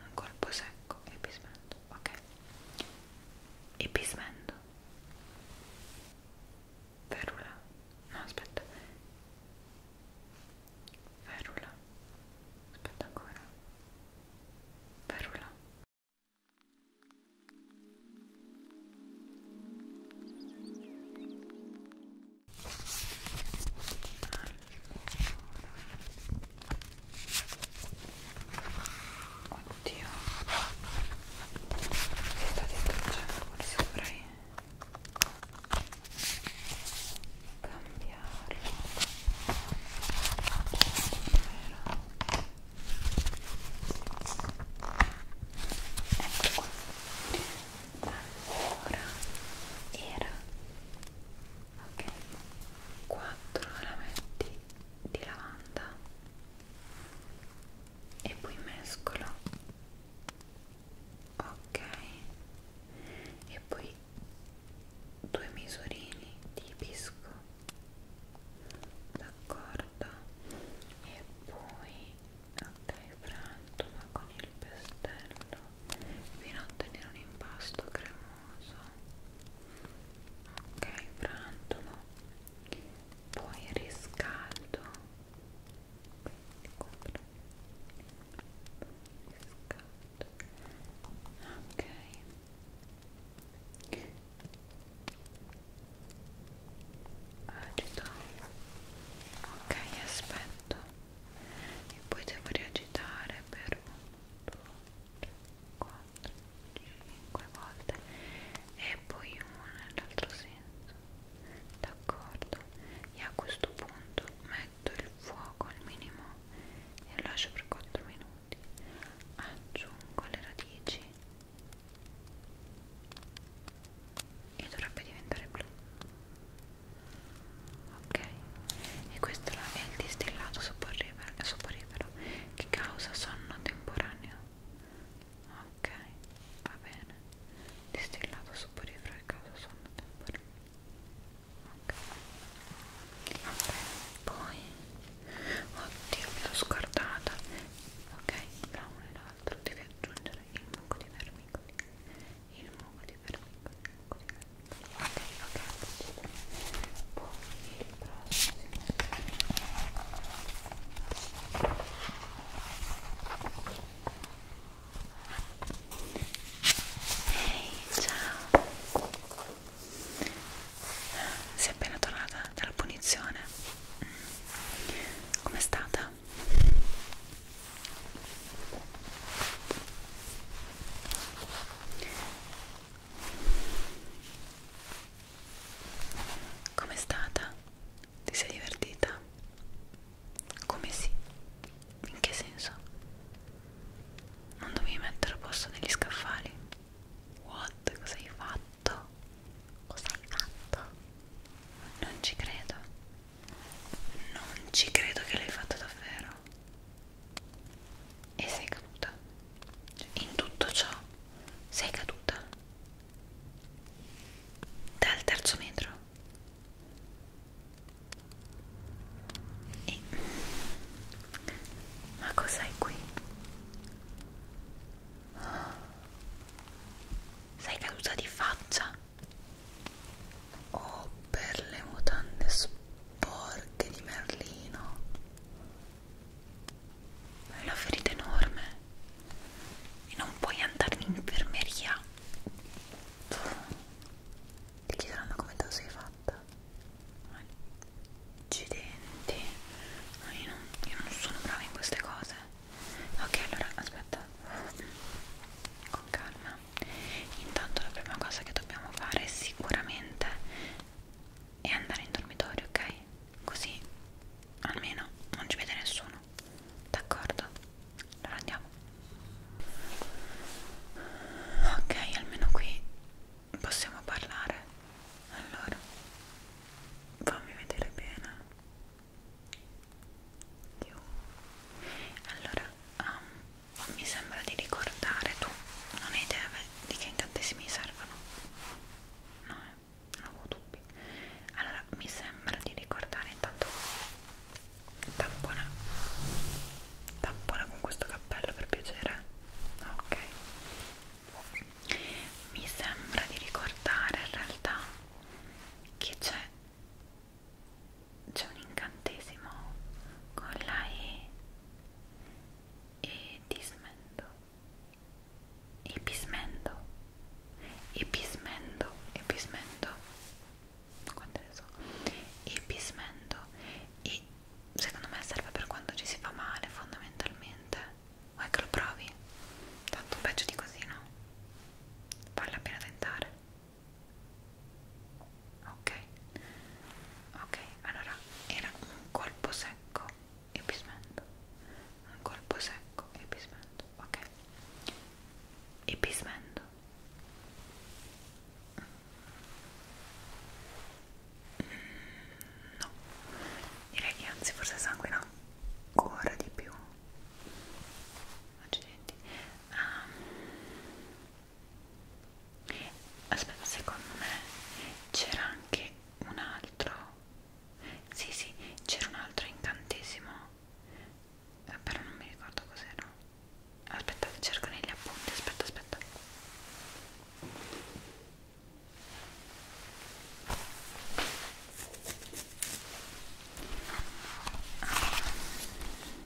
un colpo secco e pismendo, ok? E pismendo. Ferula. No, aspetta. Ferula. Aspetta ancora. Ferula. Oddio Si sta distruggendo qua sopra eh. Cambiarlo Ecco qua allora era ok 4 rametti di lavanda e poi mescolo ok e poi due misurini di pisco d'accordo e poi ok frantola con il pestello fino a ottenere un impasto cremoso ok frantolo poi riscaldo riscaldo ok agito ok aspetto e poi devo riagitare per un, due, 4, 5 volte e poi uno nell'altro senso d'accordo e a questo punto metto il fuoco al minimo e lo lascio per 4 minuti aggiungo le radici e dovrebbe diventare blu ok e questo è il distillato soporifero eh, che causa sonno temporaneo ok va bene distillato soporifero che causa sonno temporaneo ok va bene poi oddio mi sono scordata ok tra uno e l'altro devi aggiungere il mucco di vermicoli il mucco di vermicoli il mucco di vermicoli ok ok poi il prossimo ehi hey, ciao sei appena tornata dalla punizione com'è stata? Com'è stata? Ti sei divertita? Come sì? In che senso? Non dovevi mettere a posto negli scaffali? What? Cosa hai fatto? Cosa hai fatto? Non ci credo. Non ci credo che l'hai fatto davvero e sei caduta cioè, in tutto ciò sei caduta dal terzo metro e ma cos'hai qui? sei caduta di faccia oh per le mutande sporche porche di merlino è una ferita enorme e non puoi andare in infermeria ti chiederanno come te lo sei fatta accidenti no, io, non, io non sono brava in queste cose ok allora aspetta con calma mattina intanto la prima cosa che dobbiamo fare sicuramente è andare in dormitorio ok così almeno non ci vede nessuno d'accordo allora andiamo ok almeno qui possiamo parlare allora fammi vedere bene Dio. allora um, mi sembra di ricordare tu non hai idea di che incantesimi servono no eh, non ho dubbi allora mi sembra di ricordare intanto tampona tampona con questo cappello per piacere ok mi sembra di ricordare in realtà che c'è c'è un incantesimo con la E e dismendo e pismendo e pismendo e pismendo quante ne so e pismendo e secondo me serve per quando ci si fa male fondamentalmente vuoi che lo provi? tanto peggio di così no? vale la pena tentare ok ok allora era un colpo secco e bismento un colpo secco e bismento ok e bismento mm, no direi che anzi forse sanguina ancora di più accidenti um, aspetta secondo me c'era anche un altro sì sì c'era un altro incantesimo eh, però non mi ricordo cos'era aspetta cerco negli appunti aspetta aspetta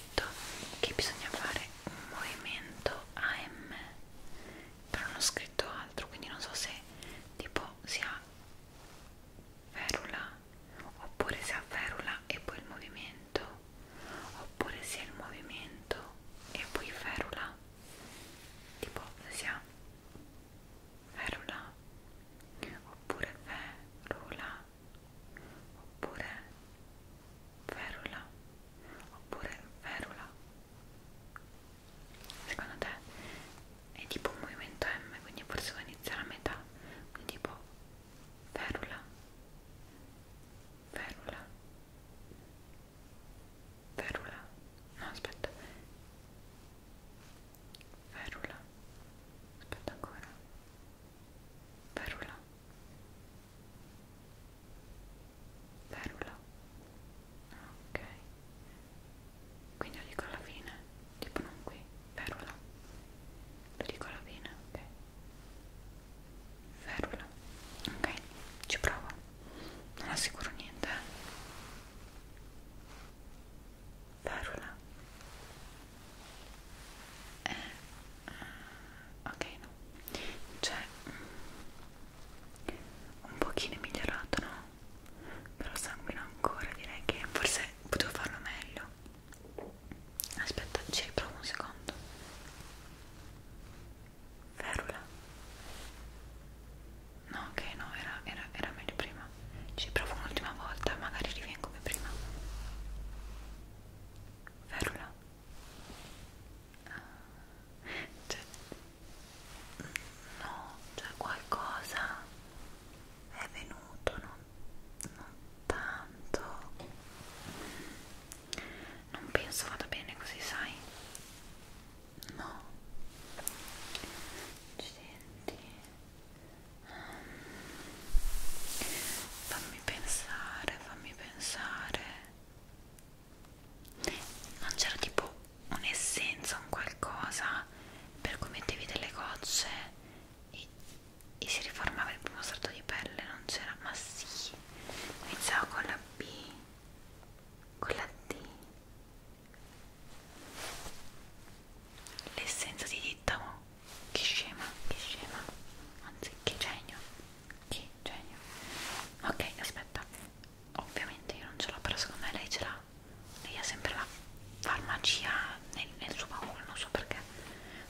detto che bisogna fare un movimento AM però non ho scritto altro quindi non so se tipo si ha ferula oppure si ha ferula e poi il movimento oppure si ha il movimento e poi ferula tipo si ha ferula oppure ferula oppure ferula oppure ferula secondo te è tipo un movimento M quindi forse va a iniziare a metà quindi tipo ferula ferula ferula no aspetta ferula aspetta ancora Perula Perula Ok Quindi lo dico alla fine Tipo non qui Perula Lo dico alla fine Ok Ferula Ok Ci provo Non assicuro niente Ferula eh eh, ok no cioè un pochino è migliorato no però sanguina ancora direi che forse potevo farlo meglio aspetta ci riprovo un secondo ferula no ok no era, era, era meglio prima ci provo un'ultima volta magari rivengo come prima ferula ah, cioè, no, cioè qualcosa è venuto non, non tanto non penso vada bene così sai no ci senti fammi pensare fammi pensare non c'era tipo un'essenza un qualcosa per cui mettevi delle gocce e, e si riformava il primo strato di pelle non c'era ma sì iniziava con la B con la D l'essenza di dittamo che scema, che scema, anzi che genio, che genio. Ok, aspetta, ovviamente io non ce l'ho, però secondo me lei ce l'ha. Lei ha sempre la farmacia nel, nel suo baule, non so perché.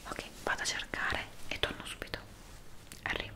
Ok, vado a cercare e torno subito. Arrivo.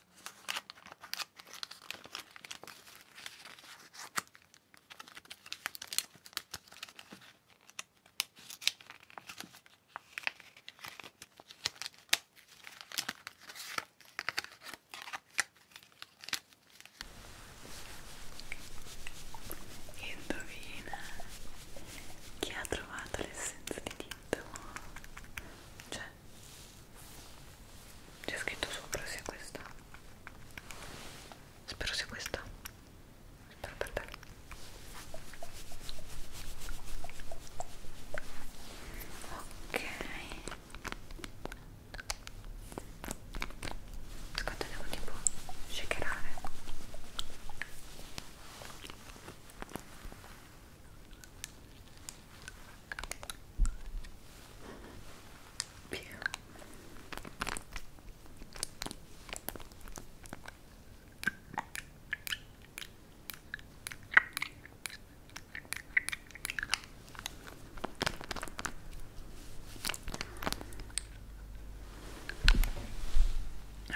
Indovina chi ha trovato l'essenza di tinto? Cioè c'è scritto sopra sia questa spero sia questa spero per te ok quanto devo tipo shakerare Via.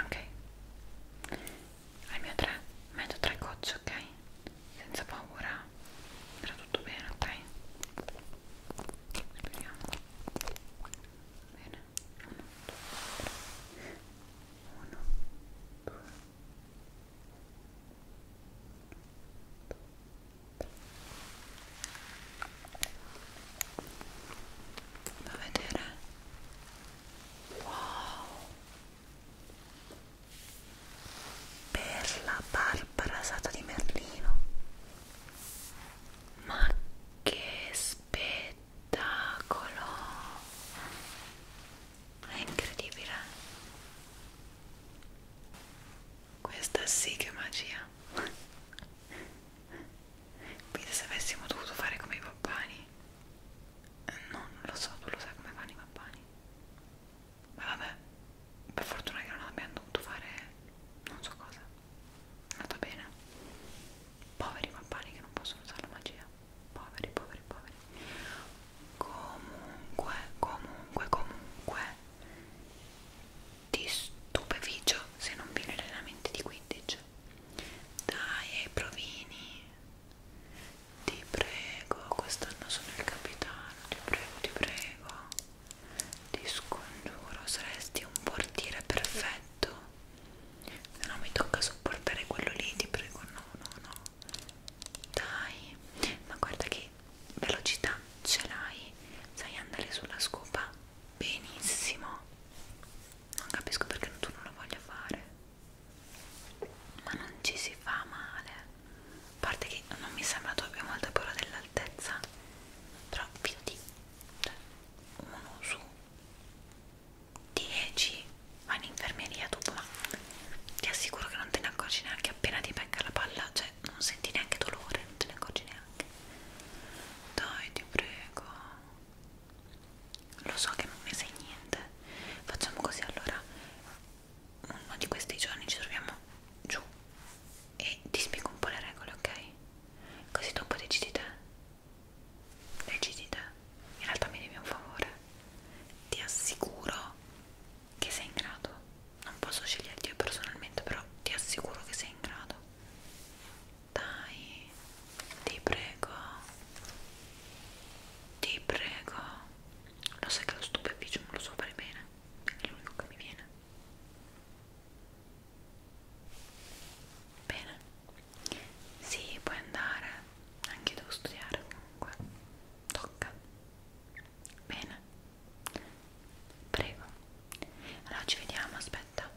Ok, al mio 3 metto 3 gocce, ok? Senza paura andrà tutto bene, ok? Speriamo. Bene, uno, due, uno, due, Va a vedere. Wow! per la barba rasata di Merlino ma che spettacolo è incredibile questa sì che è magia quindi se avessimo dovuto fare come i pappani no eh, non lo so tu lo sai come fanno i pappani ma vabbè per fortuna che non abbiamo dovuto fare non so cosa è andata bene poveri pappani che non possono usare la magia poveri poveri poveri comunque comunque comunque ti stupeficio se non viene allenamenti di 15 dai provini ti prego, quest'anno sono il capitano, ti prego, ti prego. Ti scongiuro, saresti un portiere perfetto. Se no mi tocca sopportare quello lì, ti prego, no, no, no. Dai, ma guarda che velocità ce l'hai. Sai andare sulla scopa benissimo. Non capisco perché tu non lo voglia fare. Ma non ci si fa male a parte che non mi sembra tu abbia molta paura dell'altezza però più di cioè, uno su 10 va in infermeria tu ma ti assicuro che non te ne accorgi neanche appena ti becca la palla cioè non senti neanche dolore non te ne accorgi neanche dai ti prego lo so che non mi sai niente facciamo così allora uno di questi giorni ci troviamo giù e ti spiego un po' le regole, ok? Così dopo decidi te. Decidi te. In realtà mi devi un favore. Ti assicuro che sei in grado. Non posso sceglierti io personalmente, però ti assicuro che sei in grado. Dai, ti prego. Ti prego. Lo sai che lo stupeficio non lo so fare bene, è l'unico che mi viene. Bene, sì, puoi andare, anche devo studiare comunque. Tocca. Bene, prego. Allora ci vediamo, aspetta.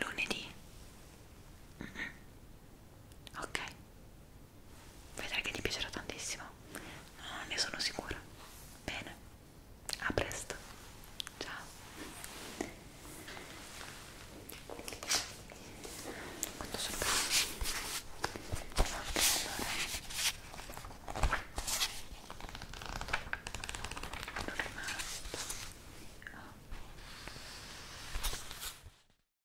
Lunedì. Mm -hmm. Ok, vedrai che ti piacerà tantissimo no, ne sono sicura bene a presto ciao quanto sono allora non è rimasto oh.